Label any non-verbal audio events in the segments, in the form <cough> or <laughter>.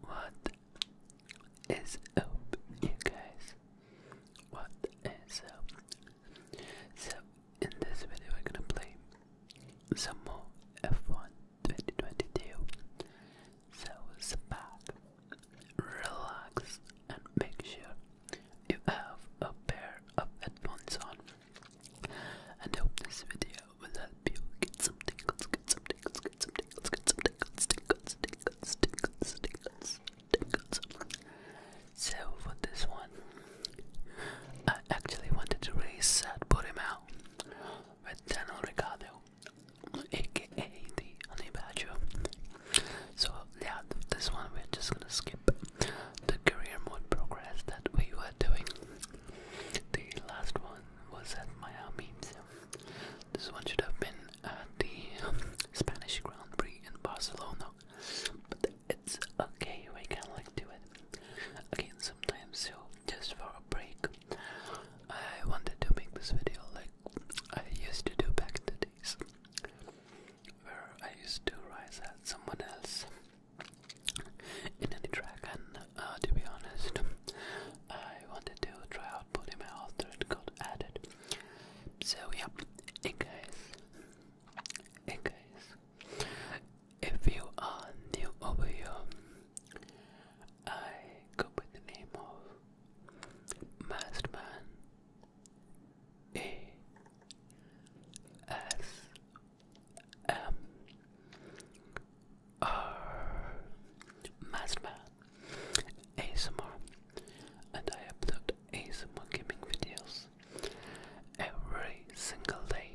What is up, you guys? What is up? So, in this video, we're gonna play some more F1 2022. So, sit back, relax, and make sure you have a pair of headphones on I hope this video will help you get some tingles, get some tingles, get some tingles, get some tingles, tingles, tingles, tingles, tingles, tingles. So for this one, I actually wanted to race at Burimau with Daniel Ricardo, aka the Honey So yeah, this one we're just gonna skip the career mode progress that we were doing the last one was at Miami. This one should have been at the um, Spanish Grand Prix in Barcelona. But it's okay, we can like do it again sometimes. So just for a break, I wanted to make this video like I used to do back in the days, where I used to rise at someone else in any track and uh, to be honest I wanted to try out putting my after it got added so yeah in case in case if you are new over here I go by the name of Masterman A S um, are Mazma ASMR, and I upload ASMR gaming videos every single day.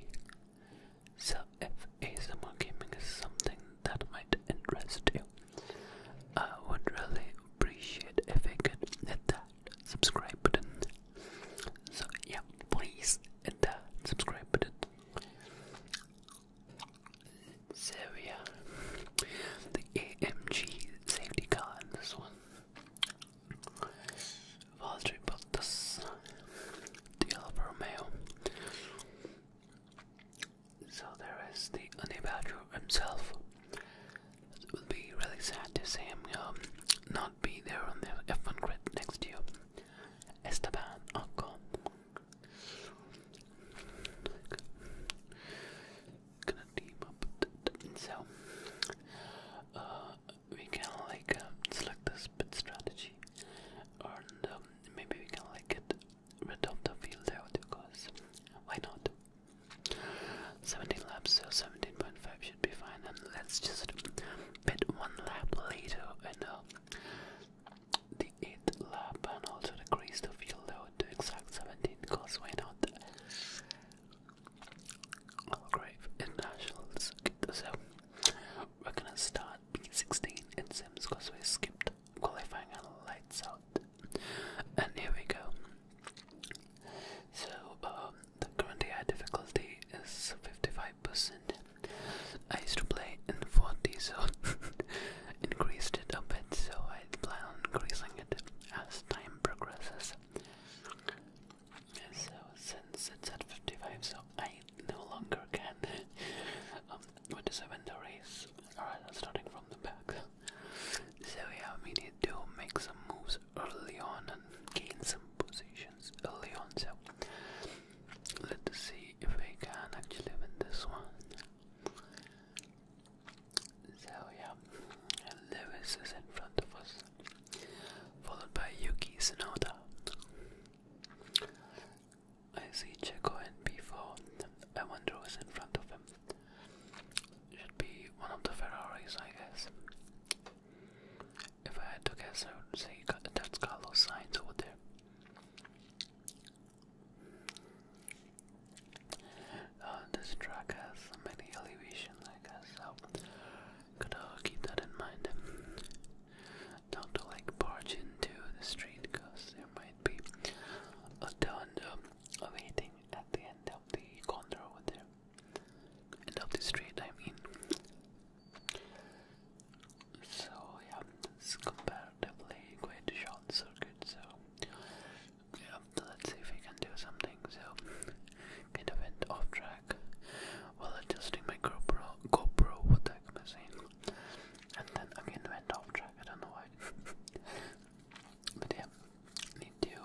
So if ASMR gaming is something that might interest you, I would really appreciate if you could hit that subscribe button so yeah, please hit the subscribe button. So yeah, the AMG safety car in this one. Valtteri Bottas, the Alfa Romeo. So there is the Honey himself. It would be really sad to see him um, not be there on the F1 grid next year. Esteban Ocon. Gonna team up. So, uh, we can like uh, select the spin strategy, and um, maybe we can like get rid of the field out because why not? 17 laps, so 17.5 should be fine, and let's just but one lap later, and uh, the eighth lap, and also the crease to field load to exact 17 because why not? Our grave nationals. So we're gonna start P16 in Sims because we skipped qualifying and lights out. And here we go. So um, the current difficulty is 55%. I used to play in 40, so <laughs> increased it a bit, so I plan on increasing it as time progresses. So since it's at 55, so I no longer can <laughs> um, what is the race. Alright, starting from the back. So yeah, we need to make some moves early on and gain some positions early on. So let's see if we can actually win this one. So yeah, Lewis is in front of us, followed by Yuki Tsunoda. I see Checo in P4. I wonder who's in front of him. Should be one of the Ferraris, I guess. If I had to guess, I would say that's Carlos Sainz over there. Uh, this track has many elevations, I guess, so got keep that in mind. Not like barge into the street, cause there might be a ton of waiting at the end of the corner over there end of the street, I mean. So, yeah, it's comparatively quite short circuit, so yeah, let's see if we can do something. So, kind of went off track while adjusting my GoPro, GoPro what And then again went off track, I don't know why. <laughs> but yeah, need to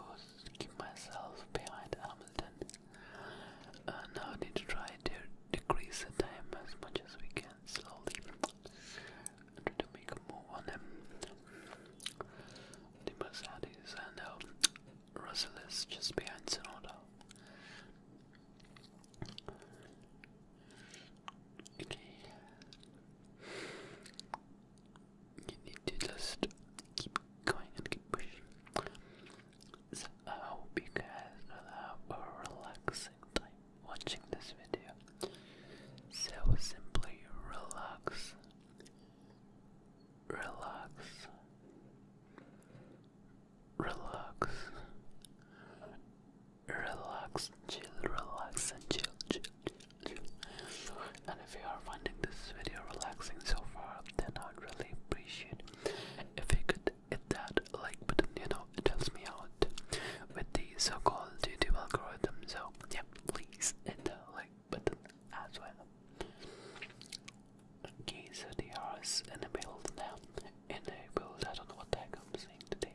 keep myself behind Hamilton. Uh, now I need to try to decrease the time as much as we can slowly. I to make a move on him. The Mercedes and uh, just behind Sonoda. Okay. You need to just keep going and keep pushing. So I hope you guys have a relaxing time watching this video. So simply relax, relax, relax, relax, chill, relax, and chill, chill, chill, chill if you are finding this video relaxing so far, then I'd really appreciate if you could hit that like button, you know, it helps me out with the so-called YouTube algorithm, so yep, please hit the like button as well. Okay, so they in the build now, in the build, I don't know what I'm saying today.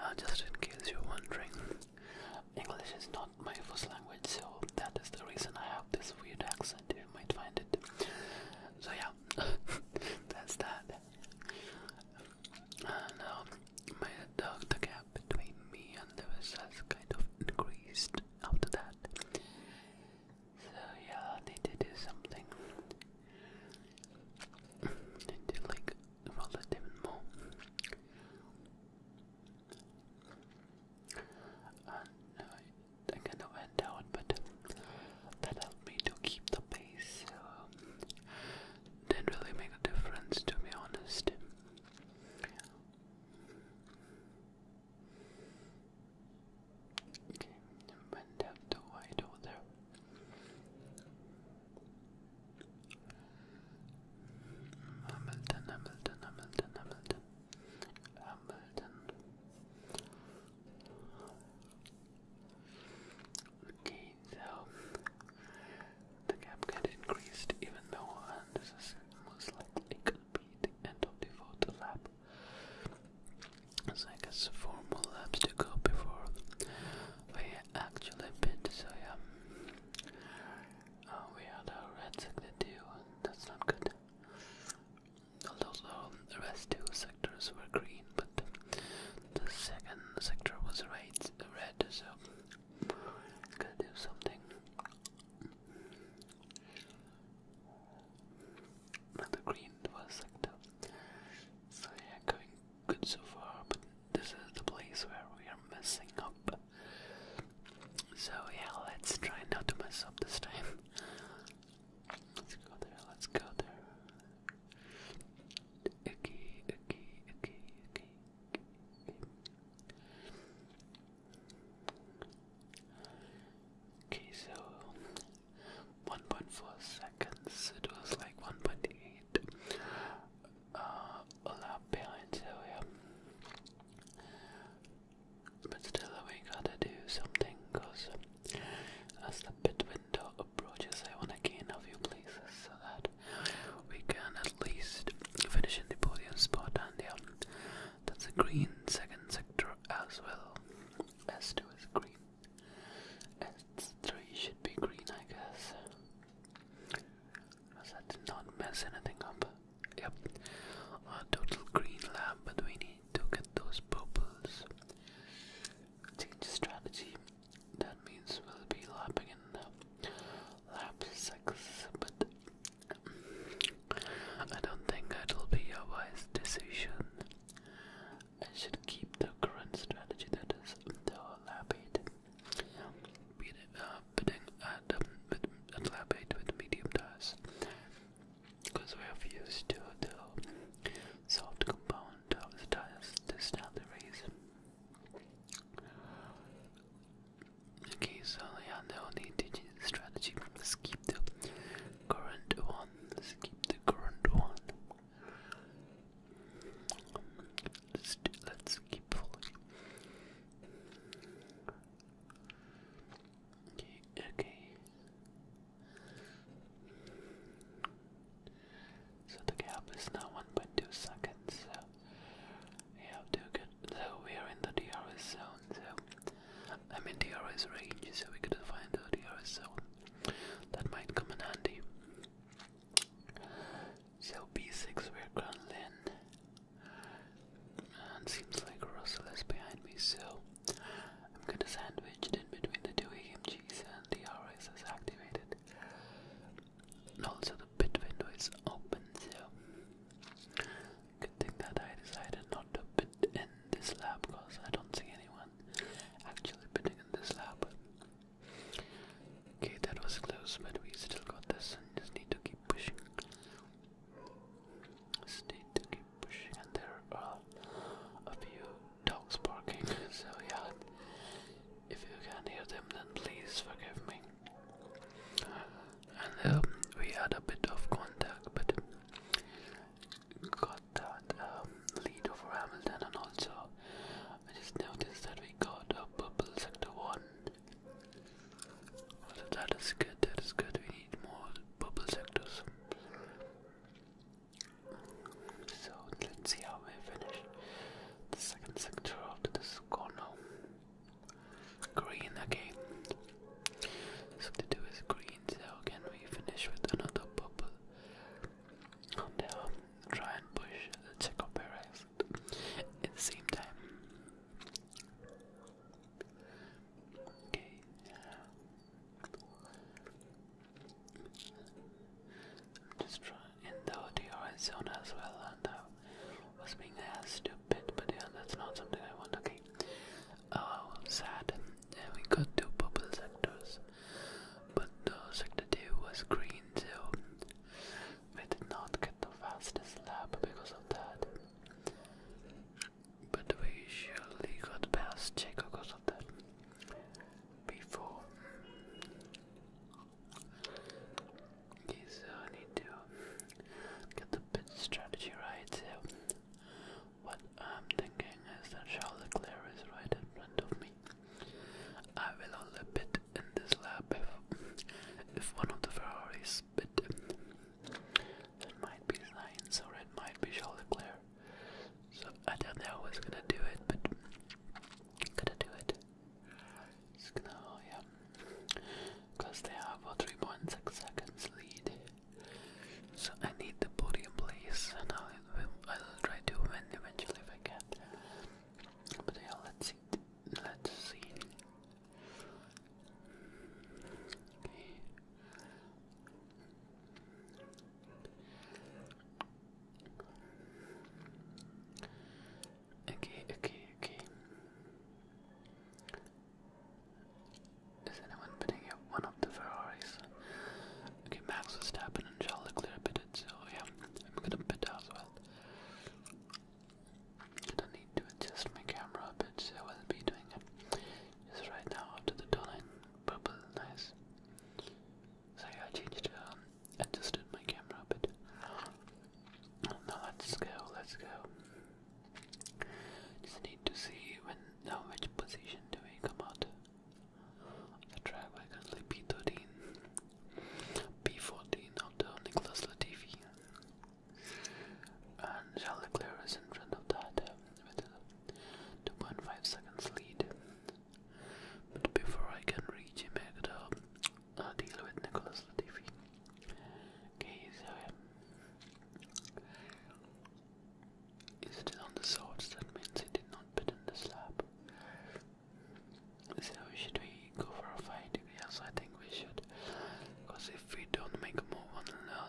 Uh, just in case you're wondering, English is not my first language, so that is the reason I have this weird accent. You might find it. So yeah, <laughs> that's that. And um, my the, the gap between me and Lewis has kind of increased after that. So yeah, need to do something. I need to like roll more. Uh, no, I, I kind of went but that helped me to keep the pace. Um, didn't really make a difference, to be honest. Okay, went down to wide there. Hamilton, Hamilton, Hamilton, Hamilton, Hamilton. Okay, so the gap got increased even though and this is most likely gonna be the end of the photo lap. So I guess four more laps to go before we actually bid, so yeah. Oh, we had a red sector that's not good. Although the rest two sectors were green, but the second sector was red, red so gotta do something. Another green was sector. So yeah, going good so far, but this is the place where we are messing up. So, yeah, let's try not to mess up this time. Let's go there, let's go there. Okay, okay, okay, okay. Okay, so 1.4 seconds, it was like 1.8 uh, alla behind Sylvia. But still, we gotta do something, cause as the pit window approaches, I wanna gain a few places so that we can at least finish in the podium spot, and yeah, that's a green second sector as well. S2 is green. S3 should be green, I guess. I did not mess anything up. Yep, a total green lab, but we need to get those purples. Change strategy. That means we'll be lapping in lap six, but mm, I don't think it'll be a wise decision. I should keep the current strategy that is the lap eight bidding at, um, at lab 8 with medium dice because we have used to the soft compound of the dice this now the reason okay so yeah the only strategy let's keep the current one let's keep the current one Let's, keep pulling. Okay, So the gap is now 1.2 seconds, so we have So we are in the DRS zone, so. I'm in DRS range, so we could find the DRS zone. That might come in handy. So b6 we're going in. And seems like Russell is behind me, so I'm gonna sandwiched in between the two AMGs and the RS is activated. And also the pit window is open, so good thing that I decided not to pit in this lab because I don't see anyone actually putting in this lab. Okay, that was close, but we still got this and just need to keep pushing. need to keep pushing, and there are a few dogs barking, so yeah, if you can hear them, then please forgive me. And um, we had a bit of contact, but got that um, lead over Hamilton, and also I just noticed that we got a purple sector one. So that is good, that is good. We need more purple sectors. So let's see how we finish the second sector after this corner. Green again. So to do is green, so can we finish with another purple? Oh, try and push the Checo Perez at the same time. Okay. I'm just trying in the ODI zone as well, and I was being asked to but yeah, that's not something I want. Okay. Oh, sad. And we got two purple sectors. But uh, sector 2 was green, so we did not get the fastest lap because of that. But we surely got past Checo because of that. Before. Yes, I uh, need the pit strategy right. So, what I'm thinking is that Charles Leclerc is right in front of me, I will only bid in this lap if, if one of the Ferraris bid. That might be science or it might be Charles Leclerc. So I don't know I was gonna do it, but I'm gonna do it. It's oh, yeah. Because they have a 3.6 seconds lead. So I need the podium place and I'll, I'll try to win eventually if I can. But yeah, let's see. Let's see. Okay. Okay, okay, Is anyone putting up one of the Ferraris? Okay, Max Verstappen and clear Charles Leclerc it. so yeah, I'm gonna put that as well. And not need to adjust my camera but bit, so I'll be doing it just right now after the doorline purple, nice. So I changed, um, adjusted my camera a bit. Now let's go, let's go. Just need to see when, now which position do we come out the track by Gunsley P13, P14 after Nicholas Latifi, and Charles Clear is in front of that uh, with a 2.5 seconds lead. But before I can reach him, I gotta uh, deal with Nicholas Latifi. Okay, uh, is it on the swords? That means he did not put in the slab. So should we go for a fight? Yes, I think we should. Because if we don't make a move on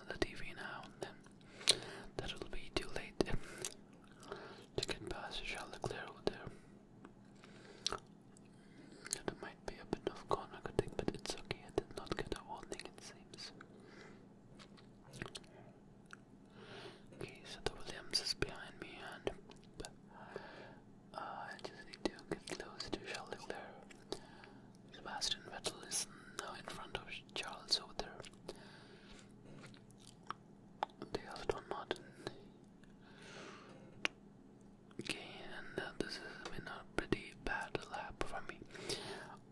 the TV now, then that will be too late to get past Charlotte Claire there. That might be a bit of corner cutting, but it's okay. I did not get a warning, it seems. Okay, so the Williams is behind me, and uh, I just need to get close to Charles Sebastian Vettel is now in front of Charles over there. They have Don Martin. Okay, and uh, this has been pretty bad lap for me.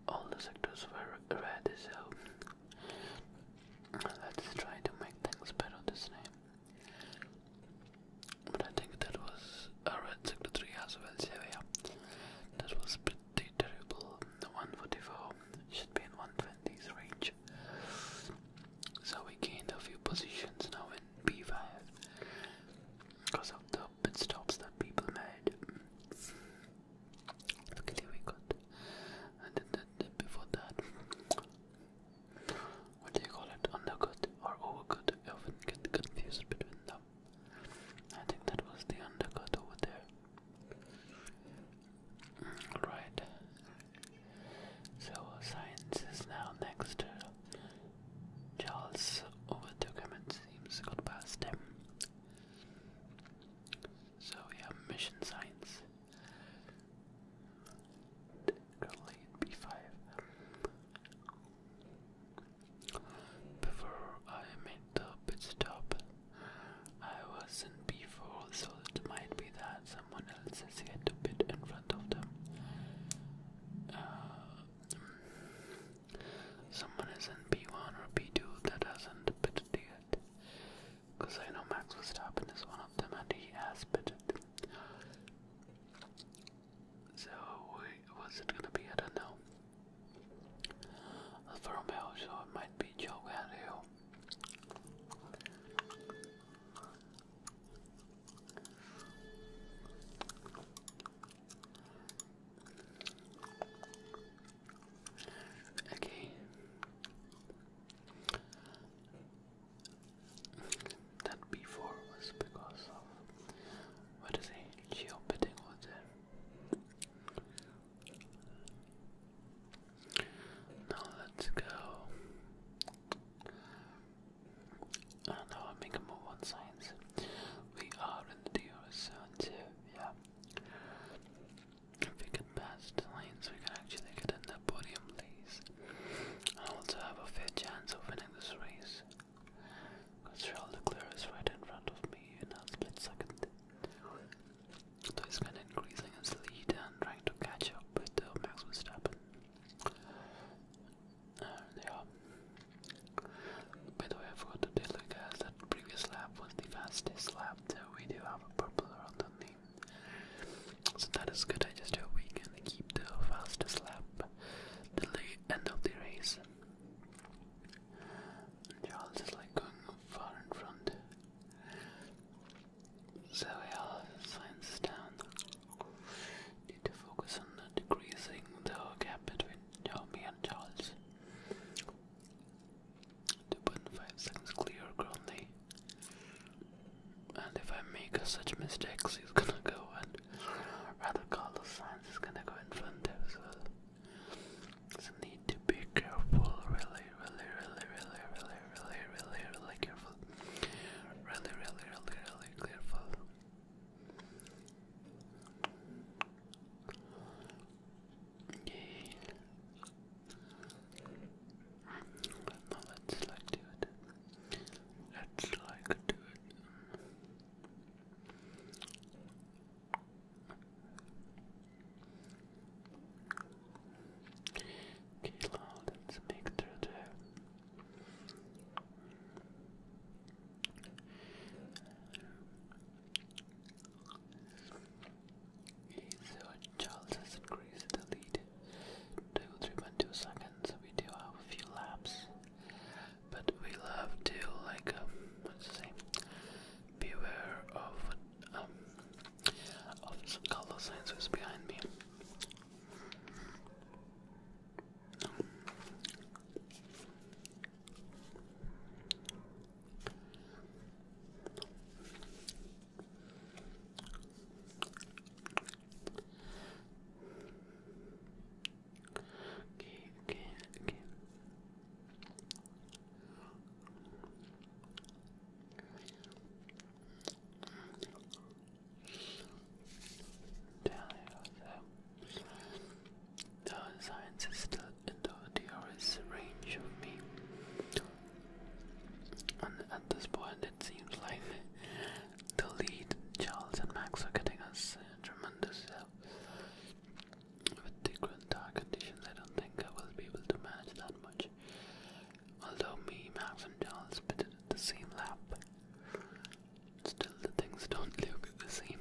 All the sectors were red, so Let's try to make things better this name. But I think that was a red secretary as well, so That was pretty terrible. The 144 should be in 120s range. So we gained a few positions now in B5 because of the pit stops that people made. Luckily we got and then before that what do you call it? Undercut or overcut? I often get confused between them. I think that was the undercut over there. Mm, So science is now next. Charles overtook him it seems, got past him. So we have mission science. Go b5. Before I made the pit stop, I was in b4, so it might be that someone else has yet to bid in front of them. Someone is in B1 or B2 that hasn't pitted yet. Because I know Max was Verstappen is one of them and he has pitted. So, was it gonna be? I don't know. Alfa so it might be Joe Galileo. Okay. That before was because of what is a geobidding was there. Now let's go. I do i make a move on science. We are in the DR yeah. If we can pass the lines, we can actually get in the podium place. I also have a fair chance of winning this race. Because Charles Leclerc is right in front of me in a split second. So he's kind of increasing his lead and trying to catch up but uh, Max Verstappen. And yeah. By the way, I forgot to tell you guys that previous lap was the fastest lap left. We do have a purple world on me. So that is good. I just do hope we can keep the fastest lap the end of the race. And you all just like going far in front. So yeah, science is down. Need to focus on decreasing the gap between Tommy and Charles. 2.5 seconds clear currently. And if I make such mistakes, he's gonna go and rather Carlos Sainz is gonna go in front as well. So need to be careful, really, really, really, really, really, really, really, really careful. Really, really, really, really careful. Yay. No, let's like do it. Let's like do it. Okay, now let's make through there. So Charles has increased the lead to 3.2 seconds. We do have a few laps, but we'll have to like um, what's the say? Beware of um of Carlos Sainz who's behind me. Okay, okay, okay. Down there, the science is still in the theory's range of me. And at this point, it seems like the lead, Charles and Max, are getting us tremendous help. With the current dark conditions, I don't think I will be able to manage that much. Although me, Max, and Charles pitted at the same lap, still the things don't <laughs> look the same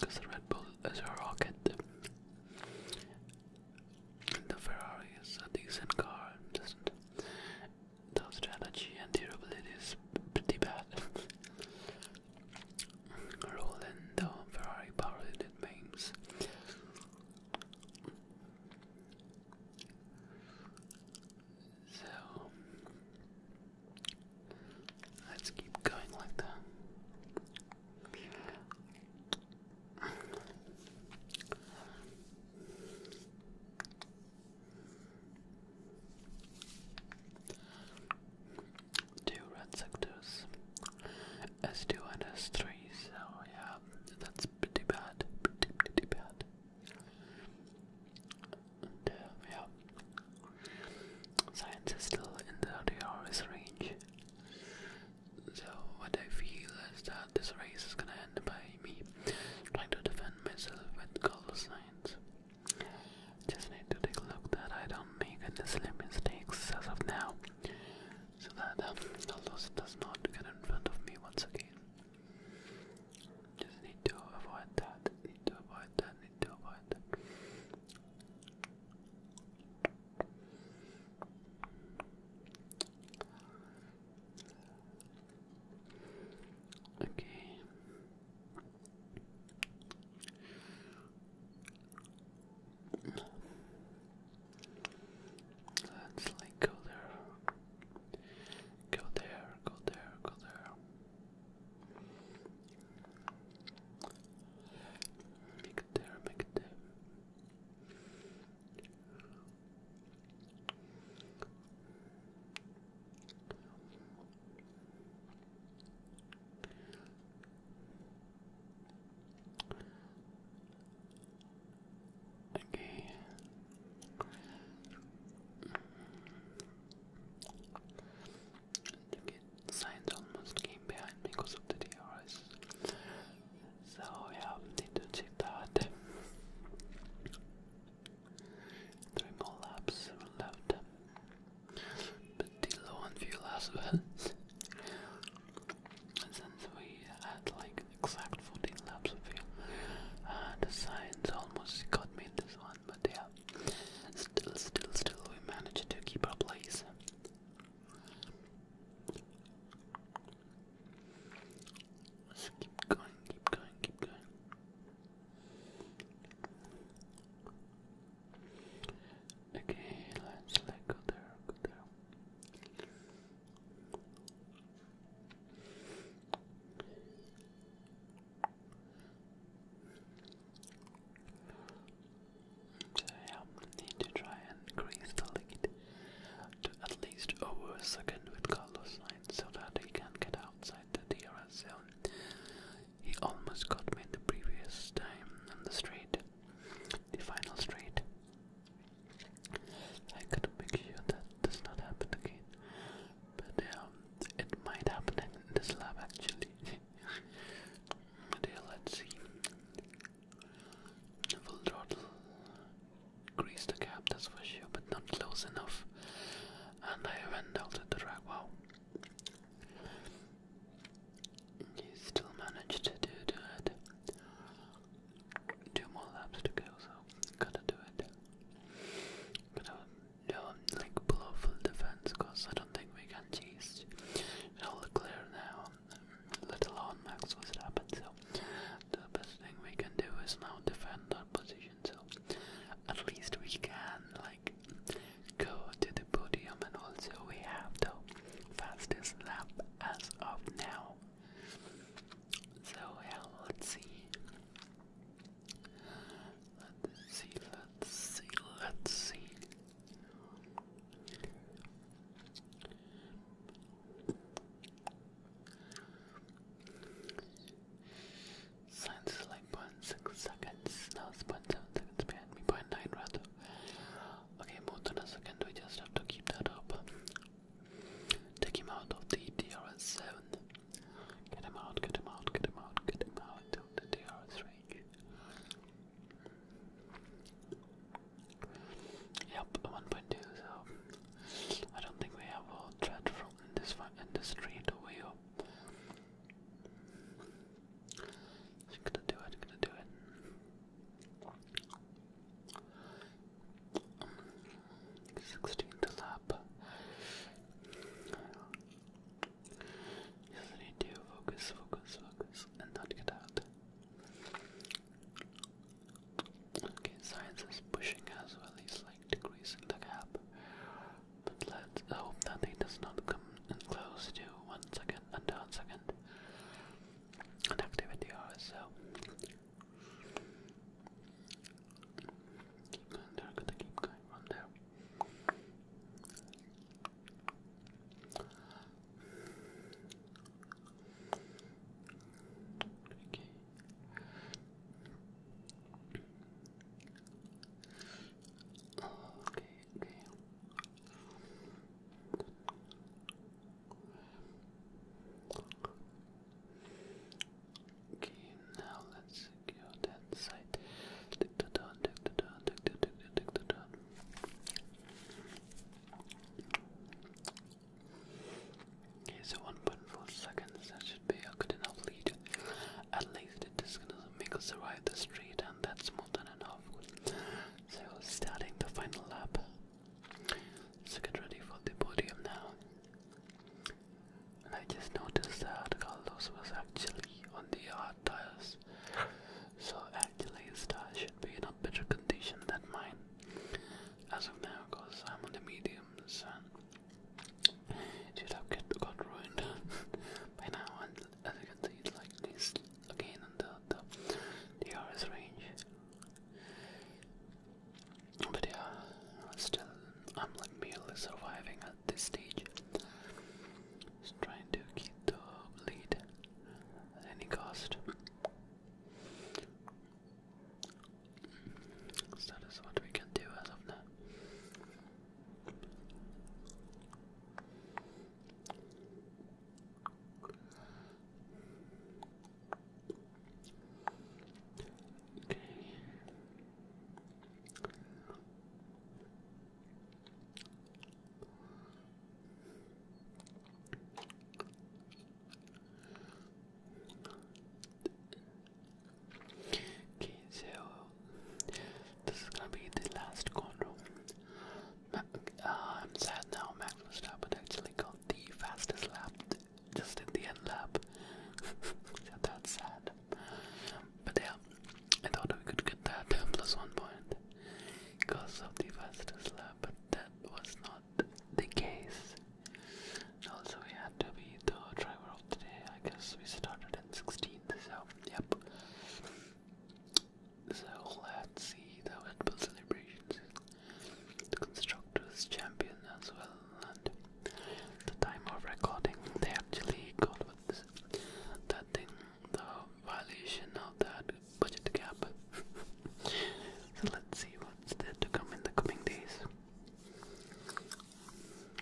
because the Red Bull is a rocket. The Ferrari is a decent car, just the strategy and durability is pretty bad. <laughs> Roland, the Ferrari power unit memes. So Let's keep going like that. Two red sectors, S2 and S3, so yeah, that's pretty bad, pretty, pretty bad yeah, science is still in the DRS range. So what I feel is that this race is gonna end by me trying to defend myself with color science. Just need to take a look that I don't make any silly mistakes as of now, so that um, Aldous does not get in front of me once again. Just need to avoid that. Need to avoid that. I need Okay. Let's go there. Go there, go there, go there. Mictare, Mictare. Okay and again, almost came behind because of the DRS. So yeah, need to check that. Three more laps left, but still low on fuel as well. Since we had like exact 14 laps of fuel, the science almost got me this one but yeah. Still, still, still, we managed to keep our place. keep going, keep going, keep going. Okay, let's let go there, go there. So need to try and increase the lead to at least over a second with Carlos Sainz so that he can get outside the DRS zone. He almost got me the previous time on the straight, the final straight. I gotta make sure that does not happen again but um, it might happen in this lab actually. <laughs> there, let's see. Full throttle, grease the cap, that's for sure, but not close enough. And I went out at the track. Wow. You still managed to do that. Two more laps to go, so gotta do it. Gotta um, like below full defense because I don't think we can chase all the clear now, let alone max what's happened. So the best thing we can do is now defend our position. So at least we can like go to the podium, and also we have the fastest lap as of now. So let's see. Let's see, let's see, let's see. Science is like 0.6 seconds, now it's 0.7 seconds behind me, 0.9 rather. Okay, more than a second, we just have to keep that up. Take him out of the DRS7. Get him out, get him out, get him out, get him out of the DRS range. Yep, 1.2, so I don't think we have a threat from this one in this street gonna do it, gonna do it. 16th lap. Yes, I need to focus, focus, focus, and not get out. Okay, science is pushing us, or at least like decreasing the gap. But let's hope that it does not come in close to one second and one second an activity hour, so Keep going there, gotta keep going from there. Okay. Okay, okay. Okay, now let's secure that side. Okay, so 1.4 seconds, that should be a good enough lead. At least it is gonna make us survive the street, and that's more than enough. So, starting the final lap. So, get ready for the podium now. And I just noticed that Carlos was actually on the hard tires. So actually his tire should be in a better condition than mine. As of now, because I'm on the mediums and it should have get, got ruined <laughs> by now. And as you can see, it's like this again on the, the, the RS range. But yeah, still, I'm like merely surviving at this stage. Just trying to keep the lead at any cost. that is what we can do as of now. Okay. Okay, so this is gonna be the last corner. Uh, I'm sad now, Magnus Lab actually got the fastest lap just in the end lap. <laughs> That's sad. But yeah, I thought we could get that <laughs> plus one point because of the fastest lap, but that was not the case. Also, we had to be the driver of the day. I guess we started in 16th, so yep. So let's see the Red Bull celebrations. The Constructors Champion as well and the time of recording they actually got that thing the violation of that budget gap <laughs> so let's see what's there to come in the coming days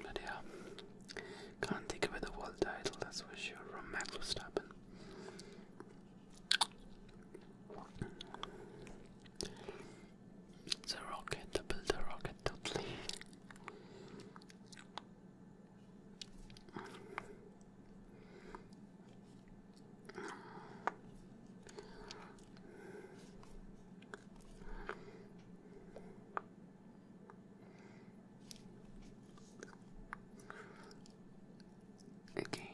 but yeah can't take away the world title that's for sure from Max the rocket, to build a rocket totally. Okay.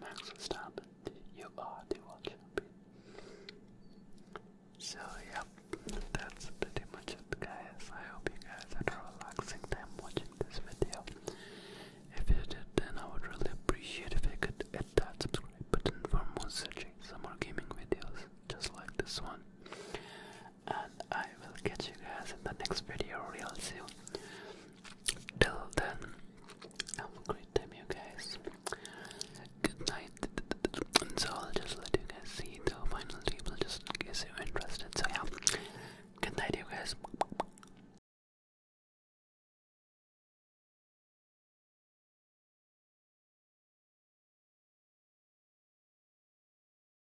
Max, stop You are the world champion. So, yep, that's pretty much it, guys. I hope you guys had a relaxing time watching this video. If you did, then I would really appreciate if you could hit that subscribe button for more searching some more gaming videos just like this one and I will catch you guys in the next video real soon. Till then, have a great time, you guys. Good night. so I'll just let you guys see the final table just in case you're interested. So, yeah, good night, you guys.